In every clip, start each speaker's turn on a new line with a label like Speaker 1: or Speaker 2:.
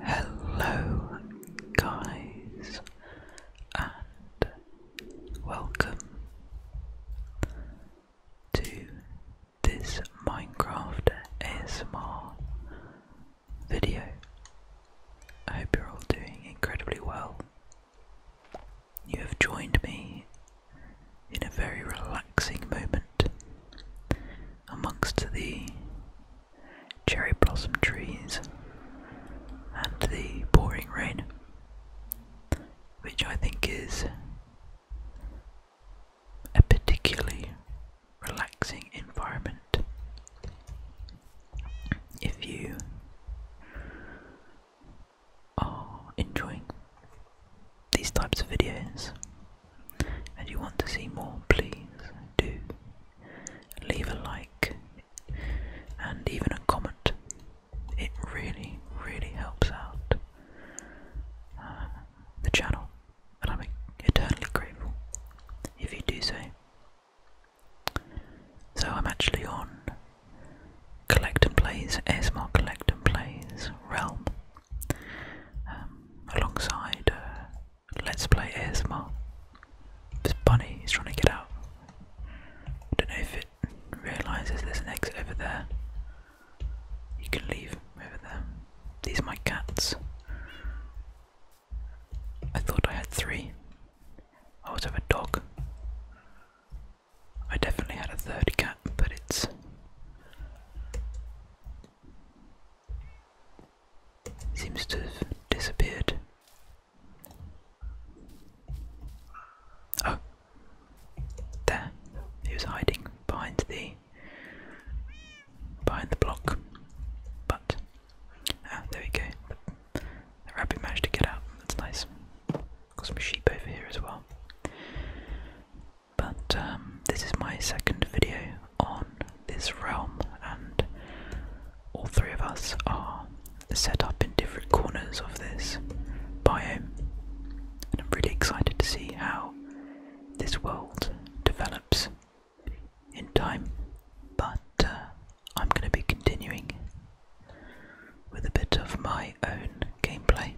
Speaker 1: Hello, guys, and welcome to this Minecraft ASMR video. I hope you're all doing incredibly well. You have joined me in a very relaxing moment amongst the cherry blossom trees, and the pouring rain, which I think is a particularly relaxing environment. If you are enjoying these types of videos, and you want to see more, please do leave a like and even a comment. It really, really helps out uh, the channel, and I'm eternally grateful if you do so. So I'm actually on Collect and Plays, ASMR Collect and Plays Realm um, alongside uh, Let's Play ASMR. This bunny is trying to get out. I don't know if it realises there's an exit over there. You can leave over there. These are my cats. I thought I had three. I also have a dog. I definitely had a third cat, but it's Seems to have disappeared. Oh, there. He was hiding behind the behind the block. But ah, there we go. The, rabbit managed to get out. That's nice. Got some sheep over here as well. But um, this is my second video on this realm, and all three of us are set up in different corners of this biome. And I'm really excited to see how this world develops in time. But uh, I'm going to be continuing with a bit of my own gameplay.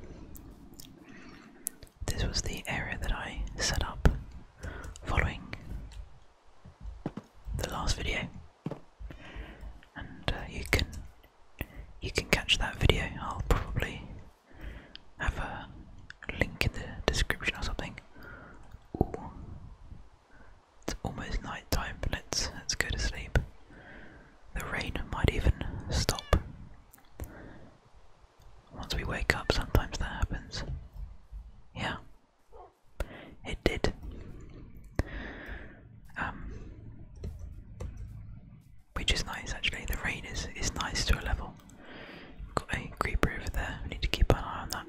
Speaker 1: This was the area that I set up following the last video, and uh, you can you can catch that video. I'll probably have a link in the description or something. it's almost night time. Let's let's go to sleep. The rain might even stop. Once we wake up, sometimes that happens. Yeah, it did. Um, which is nice actually. The rain is is nice to a level. Got a creeper over there. need to keep an eye on that.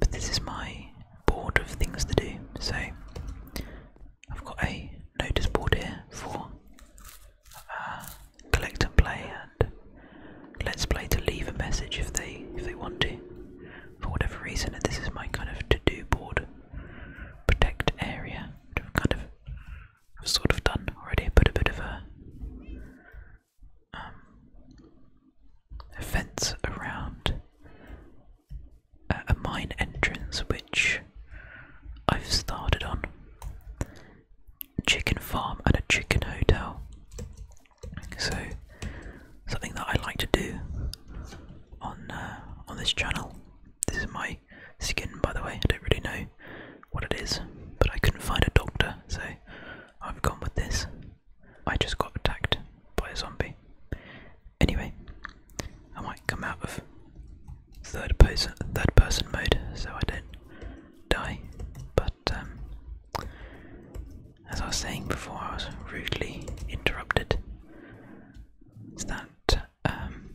Speaker 1: But this is my board of things to do. So I've got a notice board here for collect and play and let's play to leave a message if they if they want to for whatever reason and this is my kind of to-do board protect area which have kind of sort of done already put a bit of a, um, fence around a, uh, a mine entrance which I've started on chicken farm and a chicken hotel. So something that I like to do on uh, on this channel. This is my skin, by the way. I don't really know what it is, but I couldn't find a doctor, so I've gone with this. I just got attacked by a zombie. Anyway, I might come out of third person third person mode so I don't die, but um, as I was saying before, I was rudely interrupted. Is that um,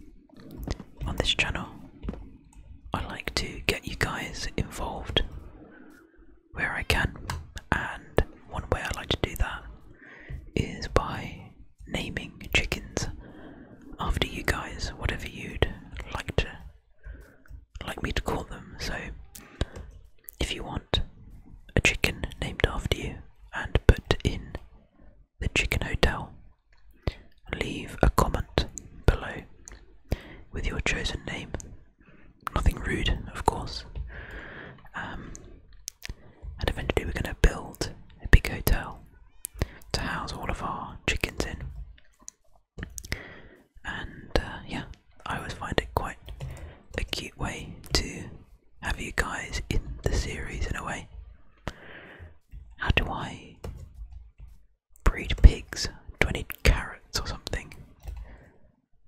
Speaker 1: on this channel? I like to get you guys involved where I can, and one way I like to do that is by naming chickens after you guys, whatever you'd like to like me to call them. So, if you want a chicken named after you and put in the chicken hotel, leave a comment below with your chosen name. Nothing rude, of course. Um, and eventually, we're going to build a big hotel to house all of our chickens in. And uh, yeah, I always find it quite a cute way to have you guys in the series in a way. How do I breed pigs? Do I need carrots or something?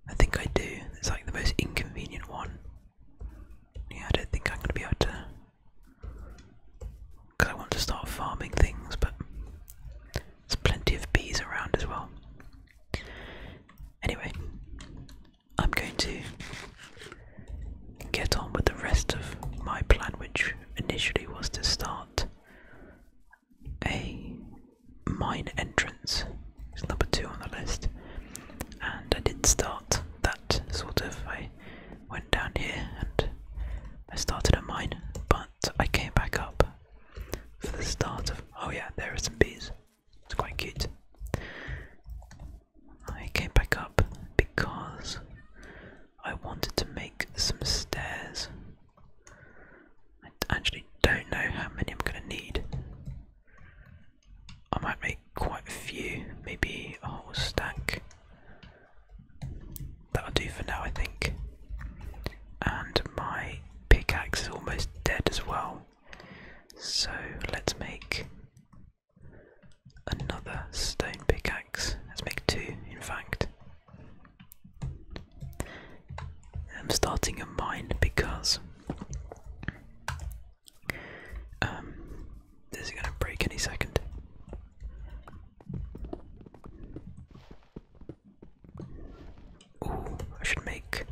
Speaker 1: I think I do. It's like the most inconvenient one. Yeah, I don't think I'm going to be able to. Because I want to start farming things, but there's plenty of bees around as well. Anyway, I'm going to get on with the rest of my plan, which initially was to start a mine entrance. It's number two on the list. And I did start that sort of. I went down here and I started a mine, but and I came back up for the start of. Oh, yeah, there are some bees. It's quite cute. I came back up because I wanted to make some stairs. I actually don't know how many I'm going to need. I might make quite a few, maybe a whole stack. That'll do for now, I think. And my pickaxe is almost dead as well. So let's make another stone pickaxe. Let's make two, in fact. I'm starting a mine because um, this is going to break any second. Ooh, I should make.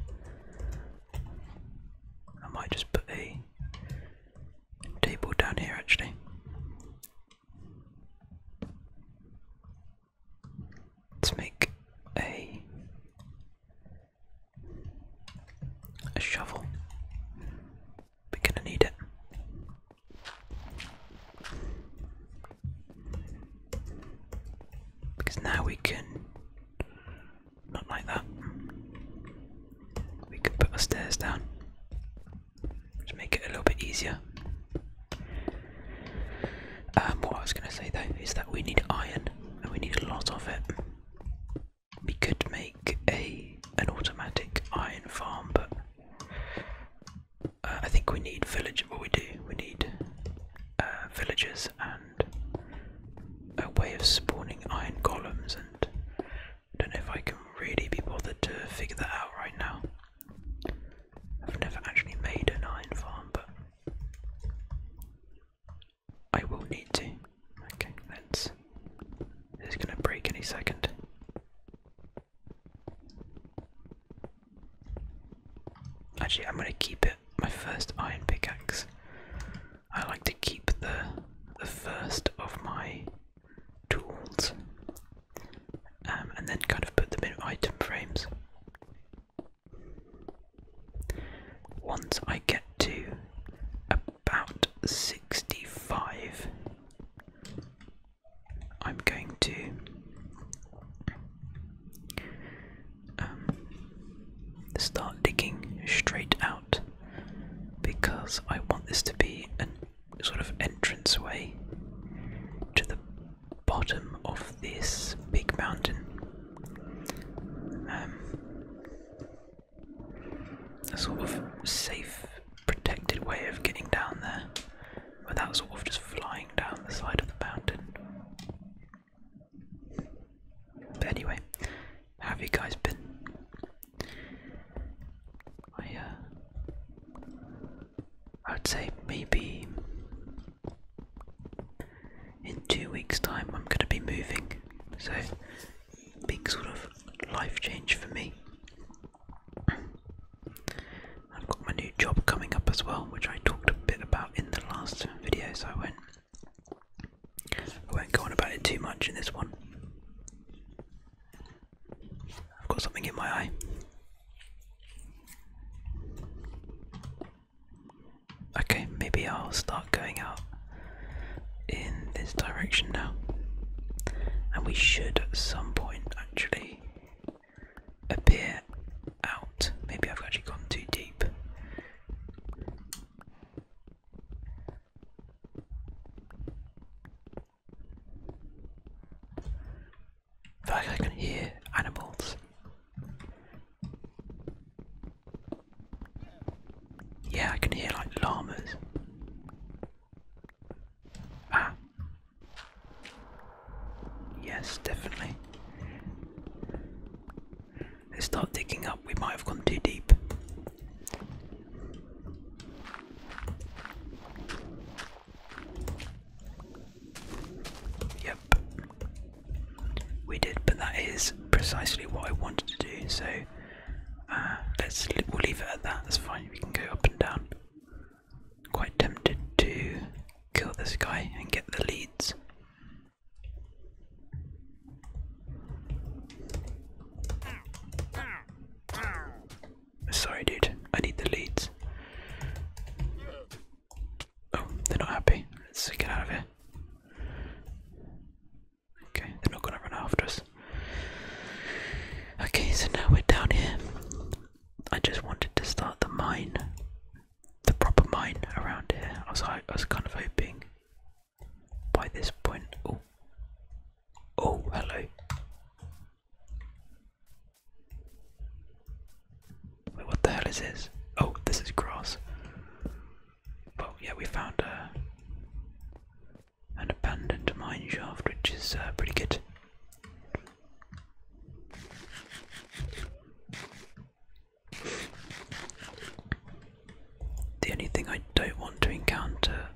Speaker 1: I might just put a table down here actually. Let's make a a shovel. We're gonna need it. Because now we can. Not like that. We can put our stairs down. Just make it a little bit easier. Um, what I was going to say though is that we need iron, and we need a lot of it. We could make a an automatic iron farm, but uh, I think we need village. What we do? We need uh, villagers and a way of spawning iron columns. And I don't know if I can really be bothered to figure that out right now. I've never actually made an iron farm, but I will need to. Okay, let's. going to break any second. Actually, I'm going to keep it my first iron pickaxe. I like to keep the the first of my tools, um, and then kind of put them in item frames. Once I get to about sixty-five, I'm going to um, start digging straight out because I want this to be a sort of entranceway to the bottom of this big mountain. Um, a sort of safe protected way of getting down there without sort of just flying down the side of the mountain. But anyway, have you guys been? Uh, I would say maybe in two weeks' time I'm going to be moving, so big sort of life change for me. I've got my new job coming up as well, which I talked a bit about in the last video, so I won't, I won't go on about it too much in this one. I've got something in my eye. Okay, maybe I'll start going out in this direction now. And we should at some point actually appear out. Maybe I've actually gone too deep. feel like I can hear animals. Yeah, I can hear like llamas. Ah. Yes, definitely. Let's start digging up. We might have gone too deep. Yep. We did, but that is precisely what I wanted to do. So uh, let's we'll leave it at that. That's fine. We can go up and down quite tempted to kill this guy and get the leads. Sorry, dude, I need the leads. Oh, they're not happy. Let's get out of here. Okay, they're not gonna run after us. Okay, so now we're down here. I just wanted to start the mine, the proper mine around here. I was, I was kind of hoping by this point. Oh, oh, hello. Wait, what the hell is this? Oh, this is grass. Well, yeah, we found a, an abandoned mine shaft, which is uh, pretty good. The only thing I don't want to encounter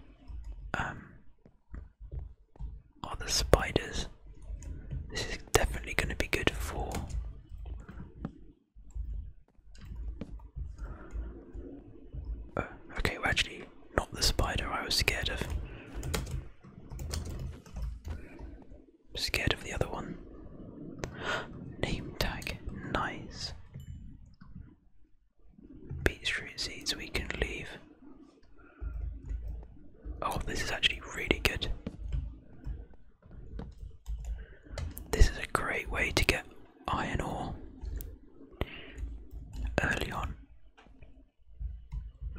Speaker 1: um, are the spiders. This is definitely going to be good for oh, okay, well actually not the spider I was scared of. I'm scared of the other one. Name tag, nice. Beetroot seeds we can leave. Oh, this is actually really good. This is a great way to get iron ore early on.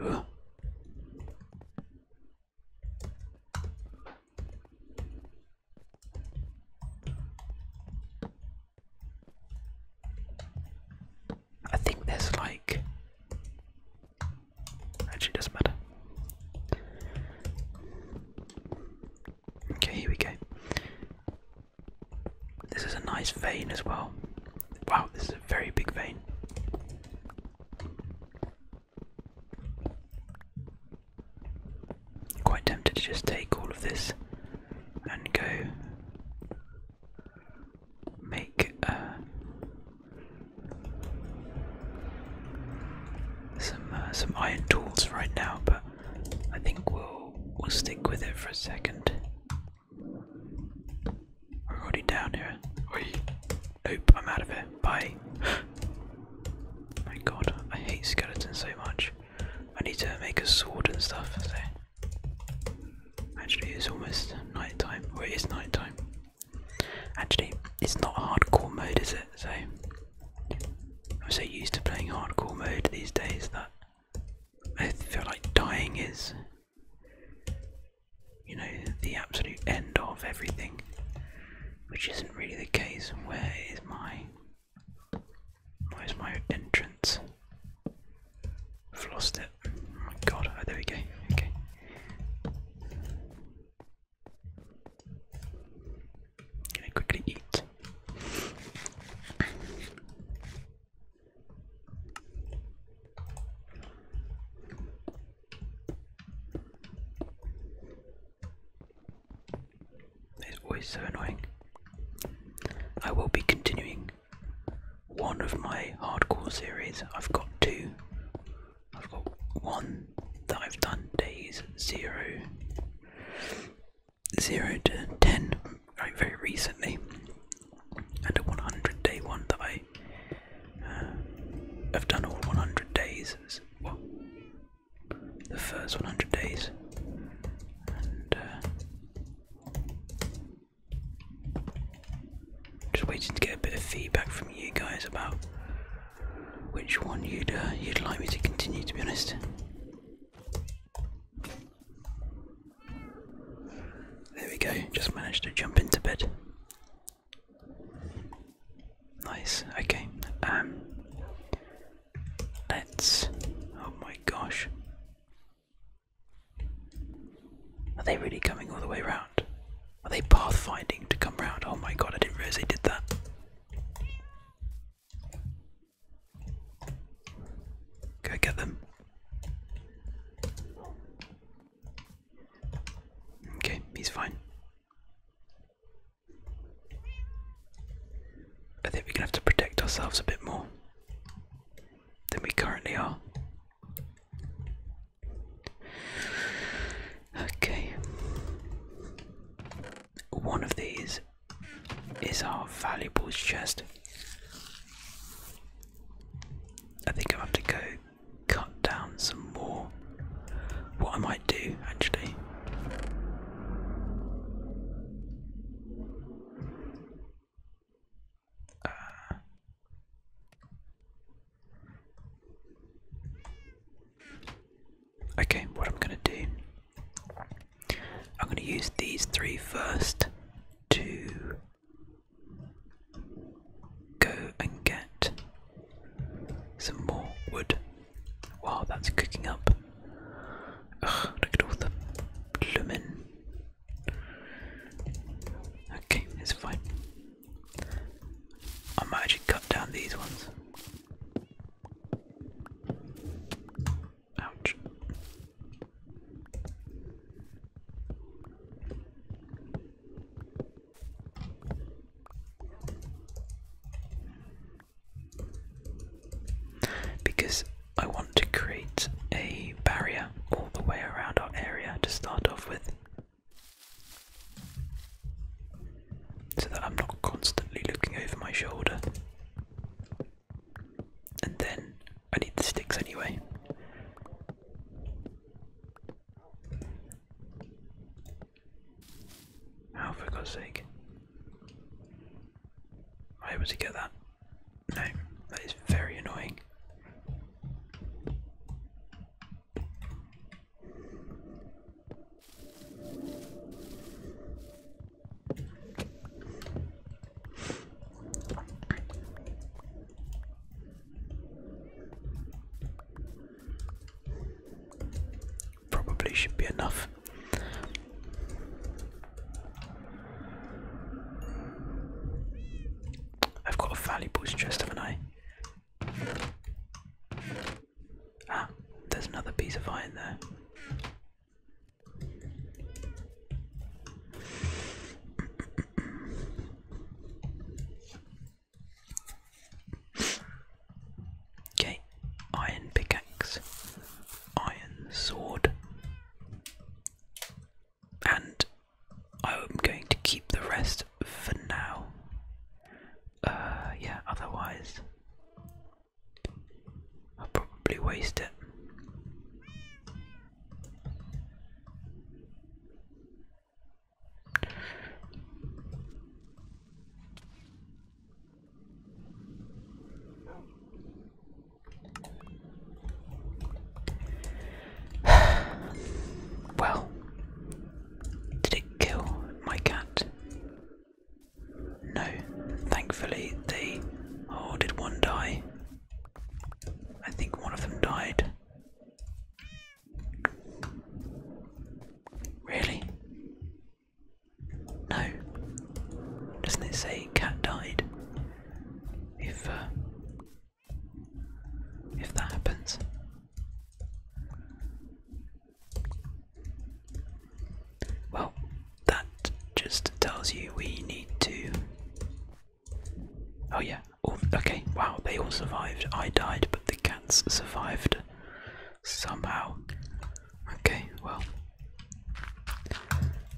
Speaker 1: Ugh. I think there's like actually doesn't matter. Okay, here we go. This is a nice vein as well. Wow, this very big vein. quite tempted to just take all of this and go make uh, some uh, some iron tools right now, but I think we'll we'll stick with it for a second. We're holding down here. Oi. Nope, I'm out of here. Bye. My god, I hate skeletons so much. I need to make a sword and stuff, actually it's almost nighttime. time. Or it is nighttime. Actually, it's not hardcore mode, is it? So I'm so used to playing hardcore mode these days that I feel like dying is you know, the absolute end of everything, which isn't really the case. Where is my. Where's my entrance? I've lost it. Oh my god, oh, there we go. Okay. Can i quickly eat. It's always so annoying. I will be continuing one of my hardcore series. I've got two. I've got one that I've done days zero, zero to ten, very recently, and a 100 day one that I uh, have done all 100 days. Well, the first 100 days, and uh, just waiting to get a bit of feedback from you guys about which one you'd uh, you'd like me to continue. To be honest. There we go, just managed to jump into bed. Nice, okay. Um let's oh my gosh. Are they really coming all the way around? Are they pathfinding to come round? Oh my god, I didn't realise they did that. Go get them. Okay, he's fine. I think we're gonna have to protect ourselves a bit more than we currently are. Okay. One of these is our valuables chest. I think I'll have to go cut down some more. What I might do actually. Uh, okay, what I'm going to do, I'm going to use these three first to go and get some more wood. while that's cooking up. Ugh, look at all the bloomin'. Okay, it's fine. I might actually cut down these ones. Ouch. Because I want to create a barrier all the way around our area to start off with, so that I'm not constantly looking over my shoulder. And then I need the sticks anyway. How, for God's sake? Am I able get that? No, that is very annoying. Probably should be enough. I've got a valuables chest, haven't I? Ah, there's another piece of iron there. Okay, iron pickaxe, iron sword, and I'm going to keep the rest for now. Uh, yeah, otherwise, I'll probably waste it. well, did it kill my cat? No, thankfully they. Oh, did one die? I think one of them died. Really? No. Doesn't it say cat died? If uh, if that happens. Well, that just tells you we need to Oh yeah. Oh, okay. Wow, they all survived. I died, but the cats survived somehow. Okay, well,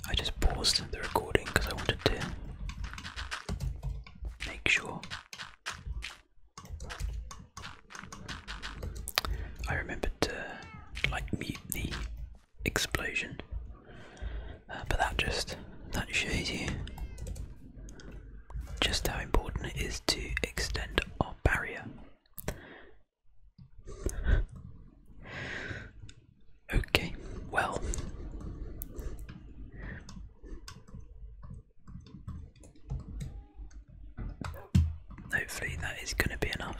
Speaker 1: I just paused the recording because I wanted to make sure. I remembered to like mute the explosion uh, but that just that shows you just how important it is to extend our barrier. okay, well. Hopefully, that is going to be enough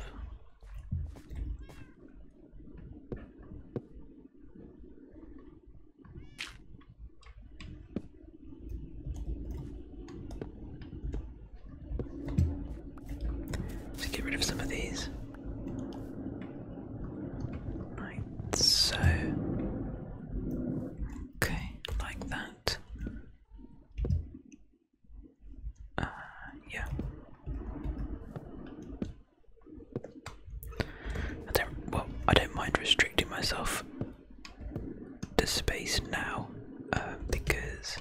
Speaker 1: let get rid of some of these. Right, so. Okay, like that. Uh, yeah. I don't well I don't mind restricting myself to space now um, because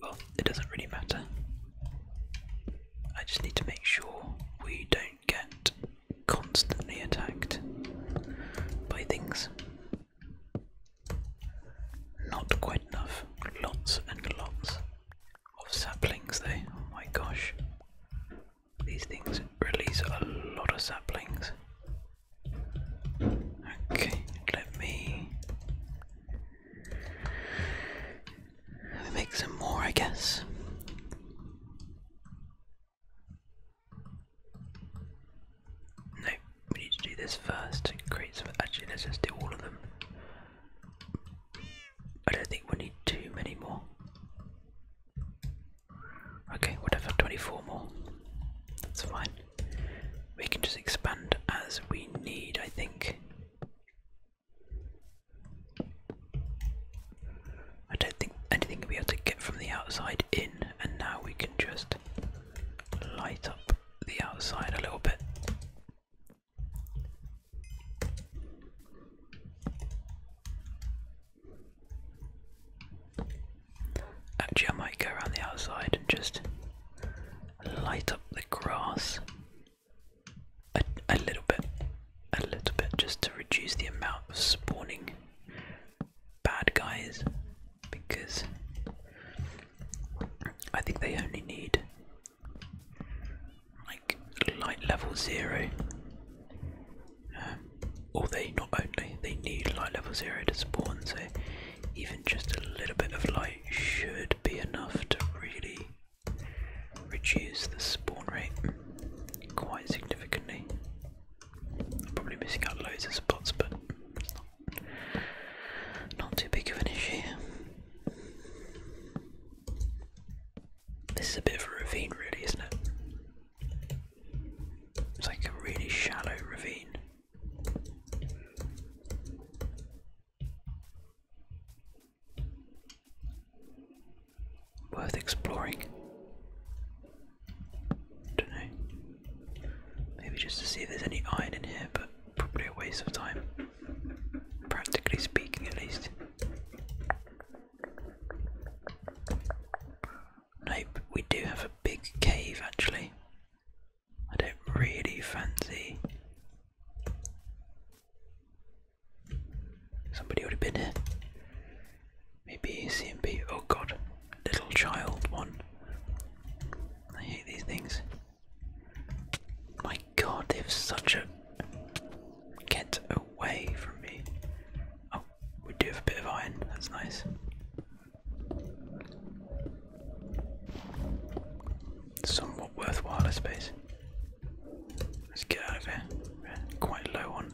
Speaker 1: well it doesn't really matter. I just need to make sure we don't get constantly attacked by things. Not quite enough. Lots and lots of saplings, though. Oh my gosh. These things release a lot of saplings. Okay, let me make some more, I guess. No, we need to do this first. Create some. Actually, let's just do all of them. I don't think we need too many more. Okay, whatever, 24 more. That's fine. We can just expand as we need, I think. I don't think anything can be able to get from the outside in, and now we can just light up the outside a little bit. Actually, I might go around the outside and just light up the grass a, little bit, a little bit, just to reduce the amount of spawning bad guys because I think they only need like light level zero. Um, or they not only they need light level zero to spawn, so even just a little bit of light should be enough to really reduce the spawn rate quite significantly. probably missing out loads of spots, but not too big of an issue. This is a bit of a ravine, really, isn't it? It's like a really shallow ravine. Worth exploring. Don't know. Maybe just to see if there's any iron in here, but probably a waste of time. Practically speaking, at least. Nope, we do have a big cave actually. I don't really fancy. Somebody would have been here. Maybe CMB. Oh god, little child one. I hate these things. My god, they are such a. Get away from me. Oh, we do have a bit of iron, that's nice. Somewhat worthwhile, I suppose. Let's get out of here. quite low on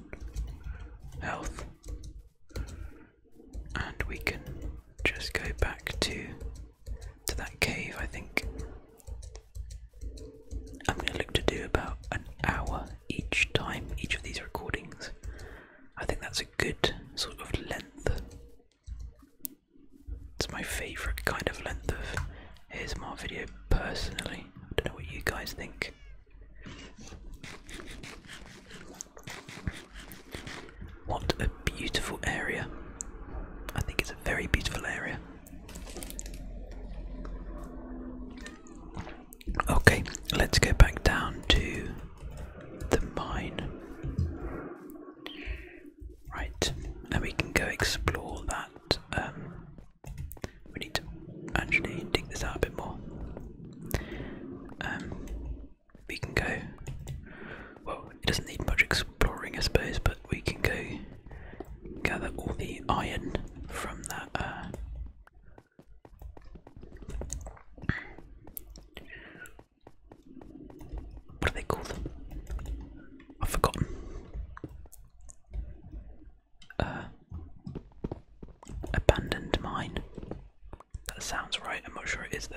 Speaker 1: health. And we can just go back to to that cave, I think. I'm going to look to do about an hour each time, each of these recordings. I think that's a good sort of length. It's my favourite kind of length of ASMR video personally. I don't know what you guys think. What a beautiful area. I think it's a very beautiful area. Okay, let's go back down to the mine. Right, and we can go explore that. Um, we need to actually dig this out a bit more. Um, we can go. Well, it doesn't need much exploring, I suppose, but we can go gather all the iron from that. Uh, what are they called? I've forgotten. Uh, abandoned mine. That sounds right. I'm not sure it is, though.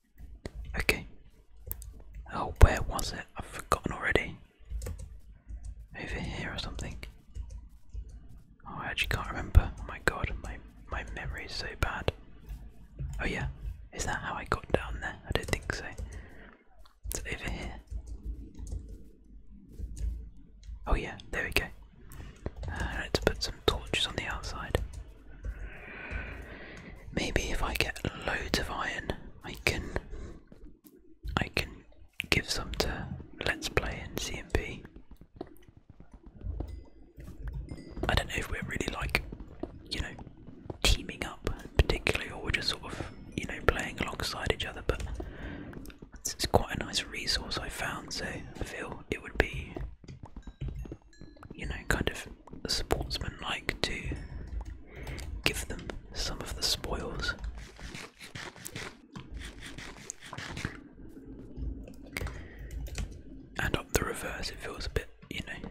Speaker 1: Okay. Oh, where was it? I've forgotten already. Over here or something. Oh, I actually can't remember. Oh my god, my my memory is so bad. Oh yeah, is that how I got down there? I don't think so. It's over here. Oh yeah, there we go. Uh, let's put some torches on the outside. Maybe if I get loads of iron, I can I can give some to Let's Play and CMP. I don't know if we're really like, you know, teaming up particularly, or we're just sort of, you know, playing alongside each other. But it's quite a nice resource I found, so I feel it would be, you know, kind of sportsmen like to give them some of the spoils. And up the reverse, it feels a bit, you know,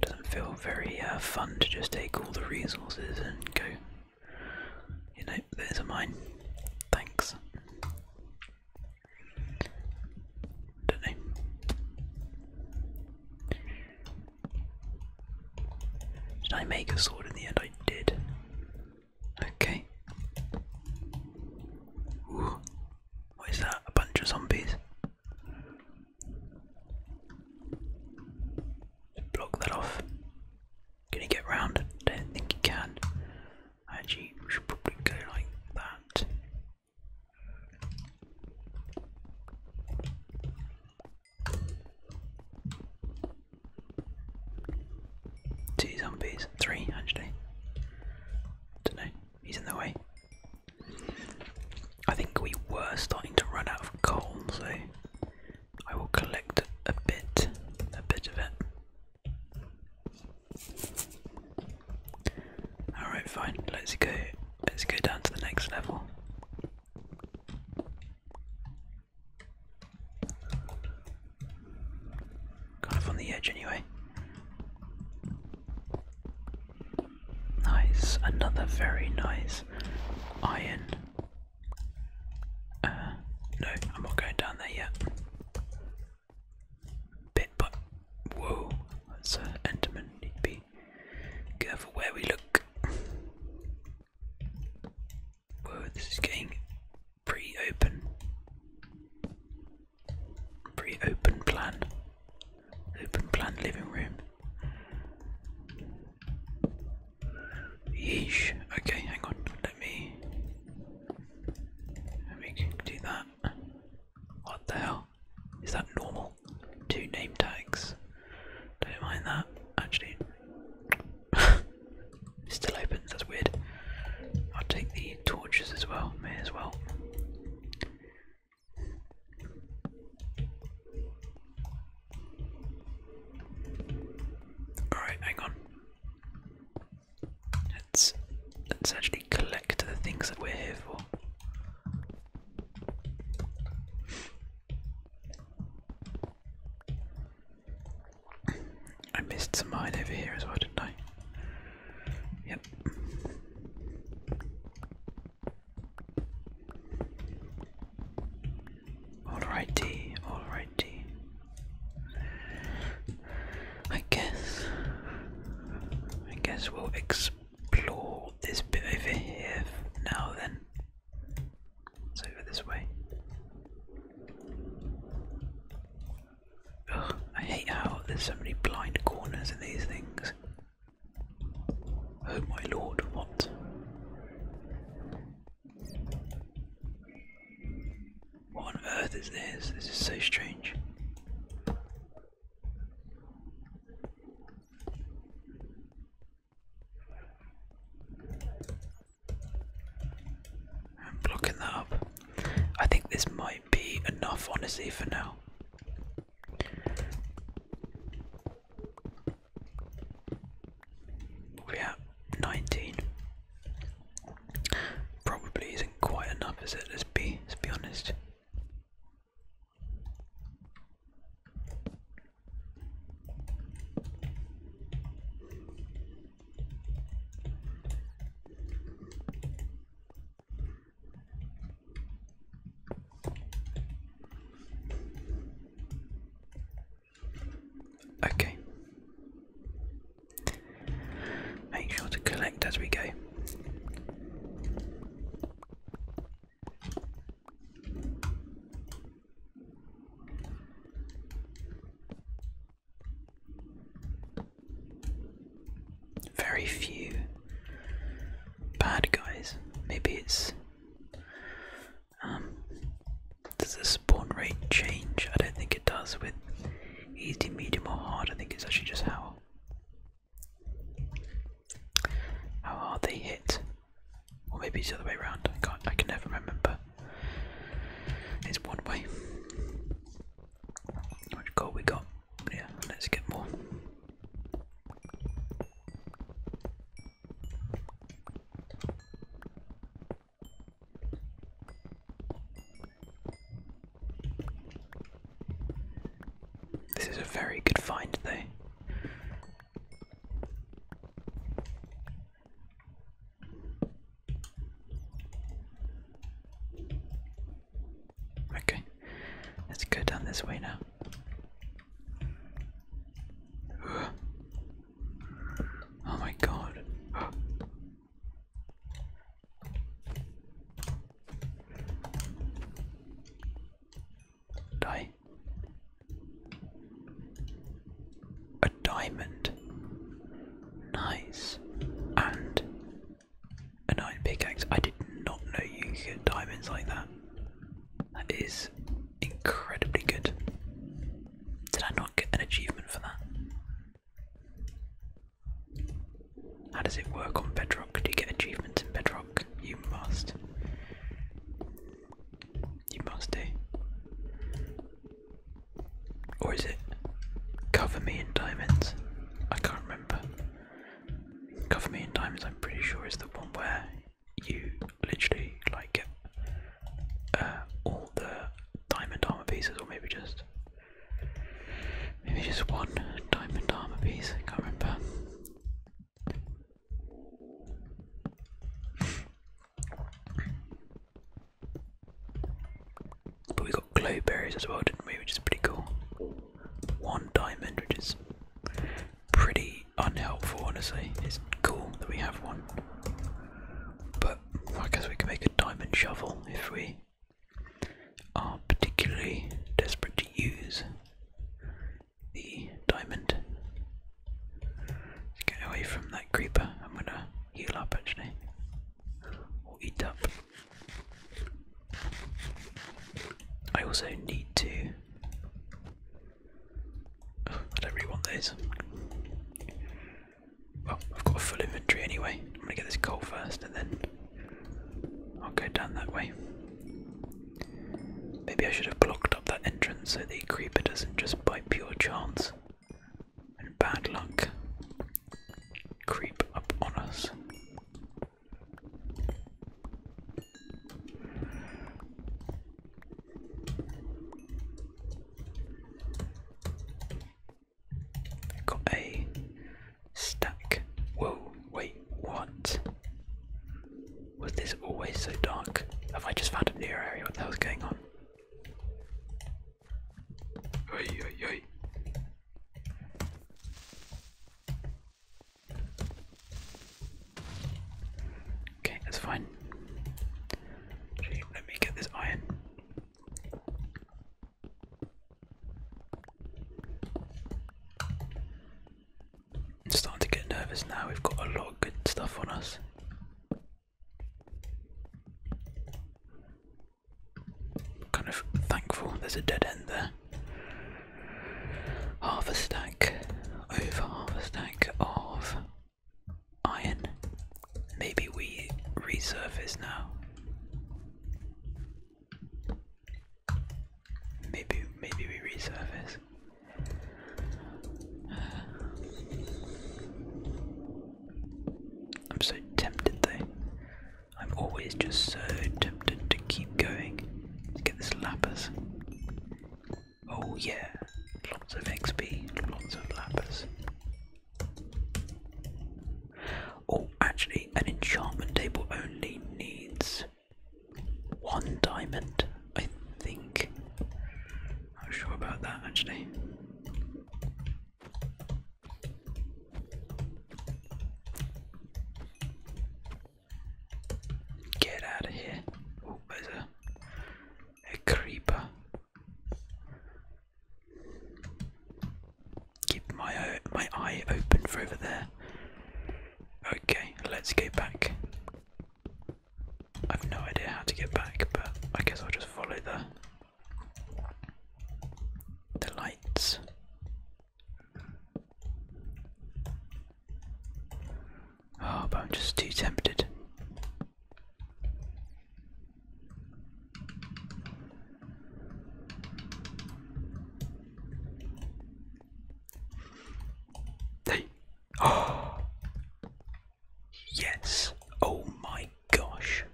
Speaker 1: doesn't feel very uh, fun to just take all the resources and go, you know, there's a mine, thanks. Don't they? Did I make a sword in the end? I did. Okay. Ooh. What is that? A bunch of zombies. Block that off. Can he get round? Don't think he can. Actually, should probably go like that. Two zombies. Three, actually. Don't know. He's in the way. I think we were starting to run out of coal, so I will collect a bit, a bit of it. Alright, fine, let's go let's go down to the next level. Kind of on the edge anyway. Nice, another very nice iron. Uh, no, I'm not going down there yet bit by whoa, that's an enderman. Need to be careful where we look. Whoa, this is getting pre open. pre open plan. Open plan living room. Yeesh. Okay, hang on. Let me. Let me do that. What the hell? is that normal? Two name tags. Don't mind that, actually. still opens, that's weird. i take the torches as well, may as well. Alright, hang on. Let's Let's actually collect the things that we're here for. I missed some mine over here as well, didn't I? Yep. Alrighty, alrighty. I guess I guess we'll explore this bit over here now then. It's this way. Ugh, I hate how there's so many blind corners in these things. Oh my lord, what? What on earth is this? This is so strange. I'm blocking that up. I think this might be enough, honestly, for now. we 19. Probably isn't quite enough, is it? Let's be, let's be honest. Okay. Make sure to collect as we go. Very few bad guys. Maybe it's. Um, does the spawn rate change? I don't think it does with easy, medium, or hard. I think it's actually just how how are they hit? Or maybe it's the other way around. I can't I can never remember. It's one way. How much gold we got? Yeah, let's get more. This is a very good find, though. Okay, let's go down this way now. Oh my god. Oh, Die. A diamond. Nice. And an iron pickaxe. I did not know you could get diamonds like that. That is incredibly good. Did I not get an achievement for that? How does it work on Bedrock? Do you get achievements in Bedrock? You must. You must do. Or is it cover me in diamonds? I can't remember. Cover me in diamonds, I'm pretty sure, is the one where you literally like get uh, all the diamond armor pieces, or maybe just Maybe just one diamond armor piece, I can't remember. But we got glow berries as well, didn't we? Which is pretty cool. One diamond, which is pretty unhelpful, honestly. It's cool that we have one. But I guess we can make a diamond shovel if we are particularly desperate to use the diamond. get away from that creeper. I'm going to heal up actually, or eat up. I also need to. Oh, I don't really want those. Well, I've got a full inventory anyway. I'm gonna get this coal first and then I'll go down that way. Maybe I should have blocked up that entrance so the creeper doesn't just by pure chance and bad luck creep up on us. Got a stack. Whoa, wait, what? Was this always so dark? Have I just found a new area? What the hell's going on? Oi, oi, oi. Okay, that's fine. Let me get this iron. I'm starting to get nervous now, we've got a lot of good stuff on us. Kind of thankful there's a dead end there. Half a stack, over half a stack of iron. Maybe we resurface now. Maybe maybe we resurface. I'm so tempted though. I'm always just so tempted to keep going. to get this lapis. Oh yeah, lots of XP, lots of lapis. Oh, actually, an enchantment table only needs one diamond, I think. Not sure about that actually. Get out of here. Oh, there's a, creeper keep my uh, my eye open for over there. Okay, let's go back. I've no idea how to get back, but I guess I'll just follow the the lights. Oh, but I'm just too tempted. Hey! Oh! Yes! Oh my gosh!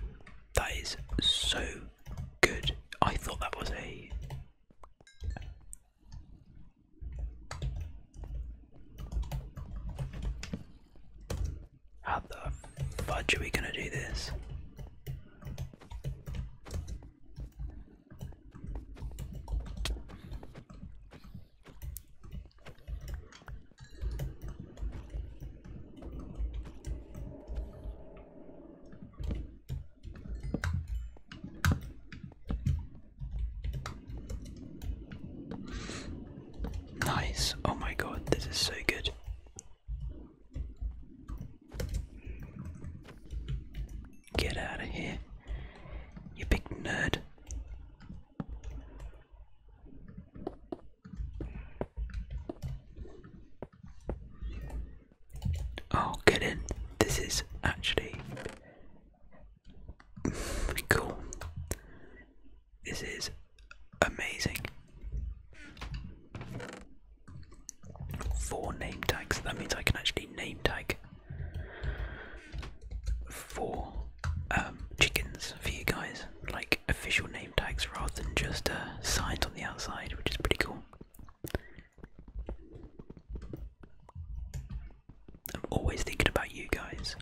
Speaker 1: That is so good. I thought that was a. How the fudge are we gonna do this? Nice. Oh my god, this is so good. Get out of here, you big nerd. Oh, get in. This is actually cool. This is amazing. Four name tags. That means I can actually name tag four um, chickens for you guys, like official name tags rather than just uh, signs on the outside, which is pretty cool. I'm always thinking about you guys.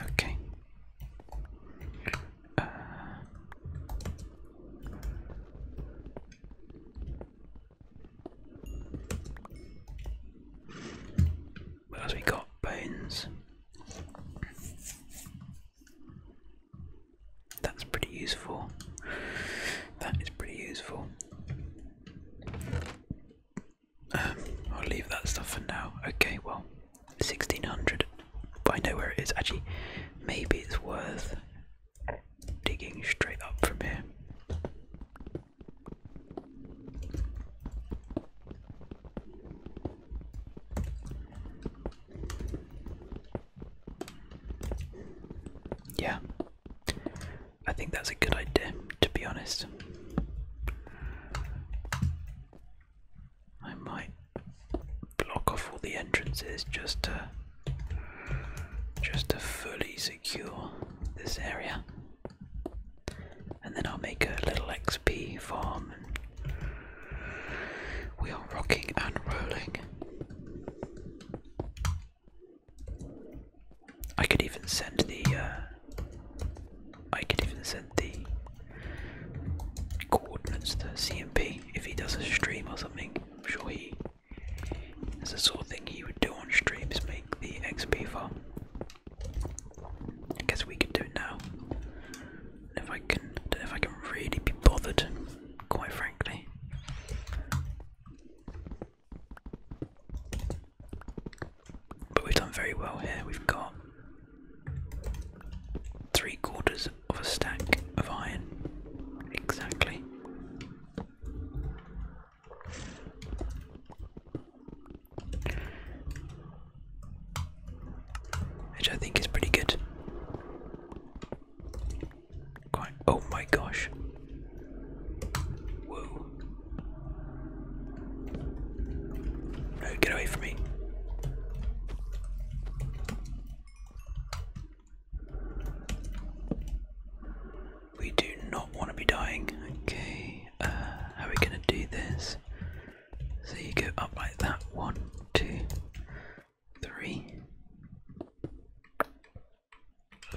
Speaker 1: Okay. Uh, what else we got? Bones. That's pretty useful. That is pretty useful. Um, I'll leave that stuff for now. Okay, well, 1600. I know where it is. Actually, maybe it's worth digging straight up from here. Yeah. I think that's a good idea, to be honest. I might block off all the entrances just to just to fully secure this area. And then I'll make a little XP farm we are rocking and rolling. I could even send the. Uh, I could even send the coordinates to CMP if he does a stream or something. I'm sure he. That's the sort of thing he would do on streams, make the XP farm. I guess we can do it now. If I can, if I can really be bothered quite frankly. But we've done very well here. We've got three quarters of a stack of iron. Exactly. Which I think is pretty good oh my gosh. Whoa. get away from me. We do not want to be dying. Okay, uh, how are we going to do this? So you go up like that. One, two, three.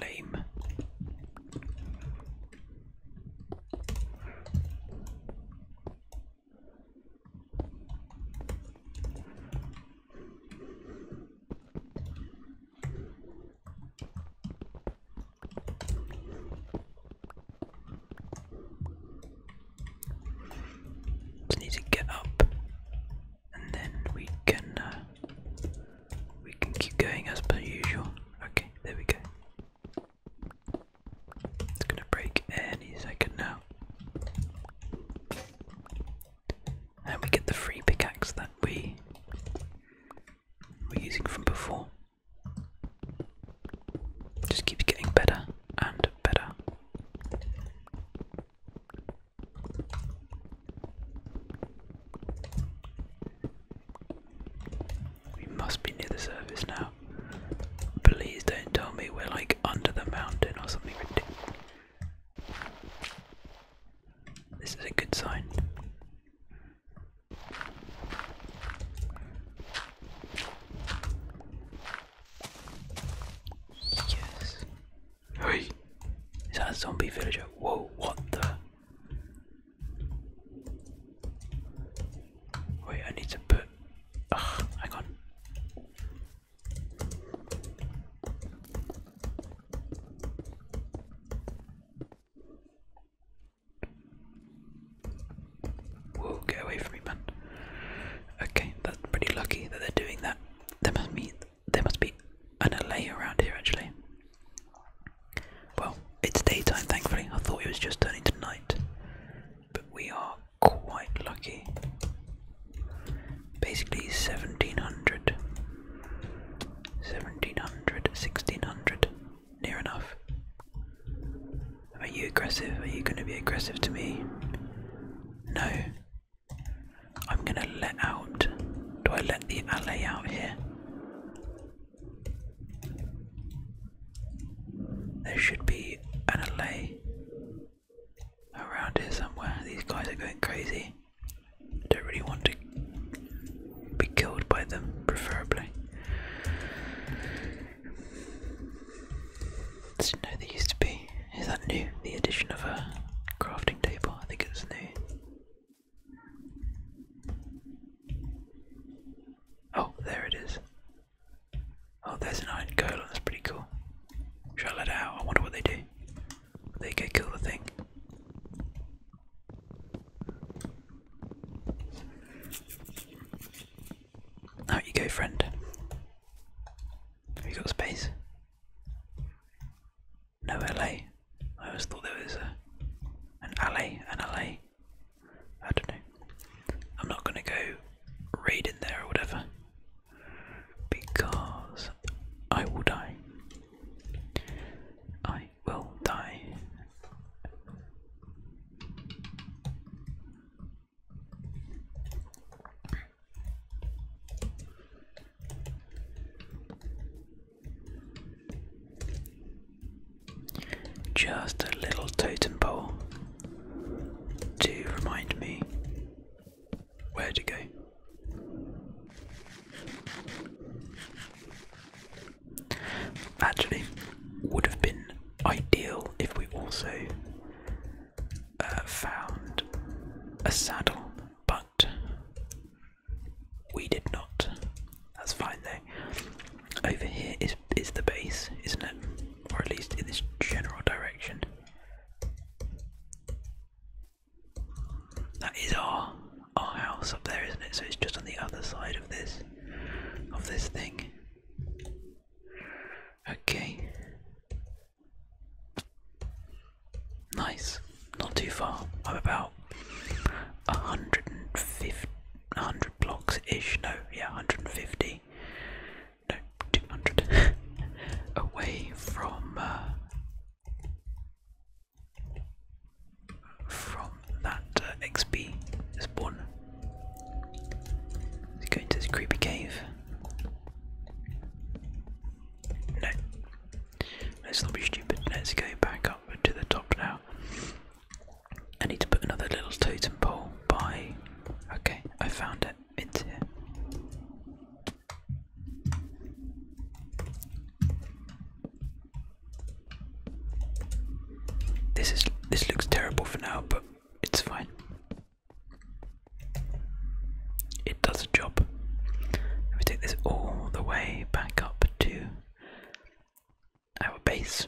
Speaker 1: Lame. Just need to get up, and then we can uh, we can keep going as per usual. Okay, there we go. It's gonna break any second now. And we get the free pickaxe that we were using from before. Just keeps getting better and better. We must be near the surface now. Please don't tell me we're like under the mountain or something ridiculous. This is a good sign. Yes. Hey! Is that a zombie villager? Whoa, what the? Wait, I need to put. Ugh, hang on. Whoa, get away from Okay, that's pretty lucky that they're doing that. There must be there must be an LA around here actually. Well, it's daytime thankfully. I thought it was just turning to night. But we are quite lucky. Basically 1700 1700 1600 near enough. Are you aggressive? Are you going to be aggressive to me? No. I'm gonna let out. Do I let the alley out here? There should be an alley around here somewhere. These guys are going crazy. I don't really want to be killed by them, preferably. Didn't know there used to be. Is that new? The addition of a crafting table? I think it's new. Oh, there it is. Oh, there's an iron golem. That's pretty cool. Should I let out? I wonder what they do. they go kill the thing? Out you go, friend. Have you got space? No LA. I always thought there was a, an alley, an LA. I don't know. I'm not gonna go raid in there or whatever because I will die. I will die. Just a little totem pole to remind me where to go. Actually, would have been ideal if we also uh, found a saddle, but we did not. That's fine There, Over here is is the base, isn't it? Or at least in this general direction. That is our our house up there, isn't it? So it's just on the other side of this of this thing. Okay. Nice. Not too far. I'm about 150, 100 blocks ish. No, yeah, 150. No, 200. away from. Uh, from that uh, XP spawn. Let's go into this creepy cave. No. Let's not be stupid. Let's go back up to the top now. I need to put another little totem pole by. Okay, I found it. It's here. This is this looks terrible for now, but it's fine. It does a job. And we take this all the way back up to our base.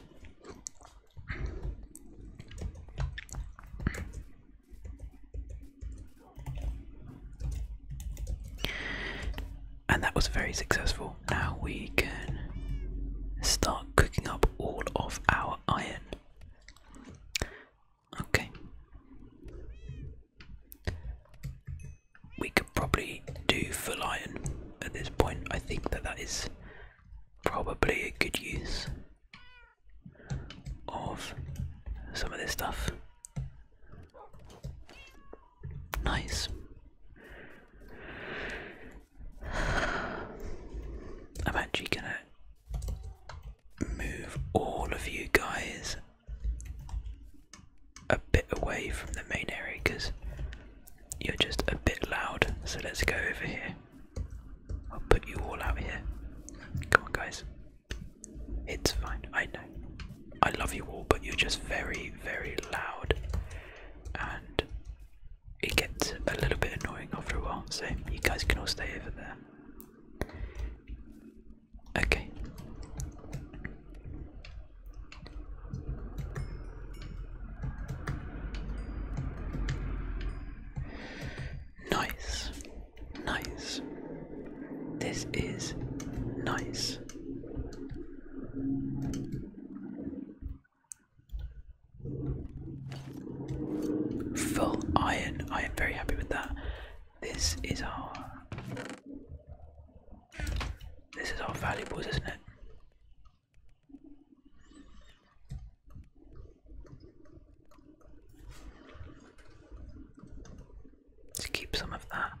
Speaker 1: And that was very successful. Now we can start cooking up all of our iron. Okay. We could probably do for iron at this point. I think that that is probably a good use of some of this stuff. Nice. I'm actually gonna move all of you guys a bit away from the main area because you're just a bit loud. So let's go over here. I'll put you all out here. Come on, guys. It's fine. I know. I love you all, but you're just very, very loud. And it gets a little bit annoying after a while. So you guys can all stay over there. Okay. Nice. Nice. This is nice. Full iron. I am very happy with that. This is our This is our valuables, isn't it? let keep some of that.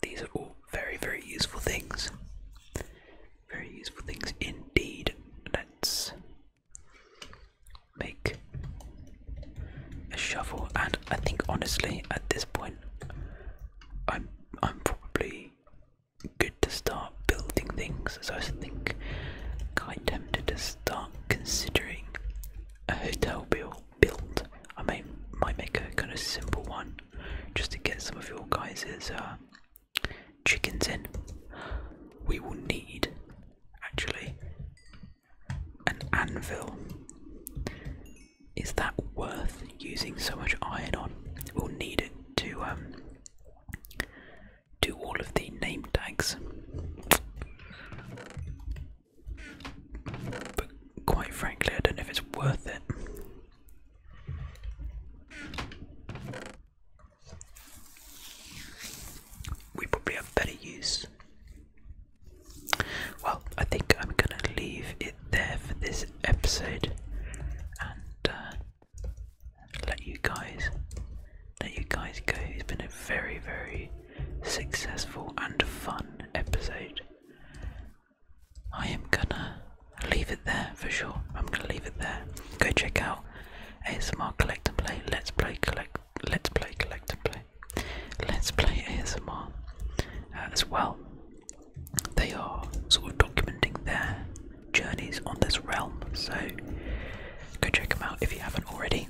Speaker 1: These are all very, very useful things. Very useful things indeed. Let's make a shovel, and I think honestly, at this point, I'm I'm probably good to start building things. So I think I'm tempted to start considering a hotel build. Build. I may might make a kind of simple one, just to get some of your guys's. Uh, chickens in. We will need actually an anvil. Is that worth using so much iron on? We'll need it to um do all of the name tags. But quite frankly, I don't know if it's worth it. We probably have better use. Well, I think I'm gonna leave it there for this episode and uh, let you guys let you guys go. It's been a very, very successful and fun episode. I am gonna leave it there for sure. I'm gonna leave it there. Go check out ASMR Collect and Play. Let's play collect. Let's play collect and play. Let's play ASMR uh, as well. They are sort of documenting their journeys on this realm, so go check them out if you haven't already.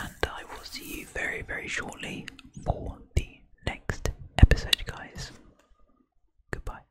Speaker 1: And I will see you very, very shortly for the next episode, guys. Goodbye.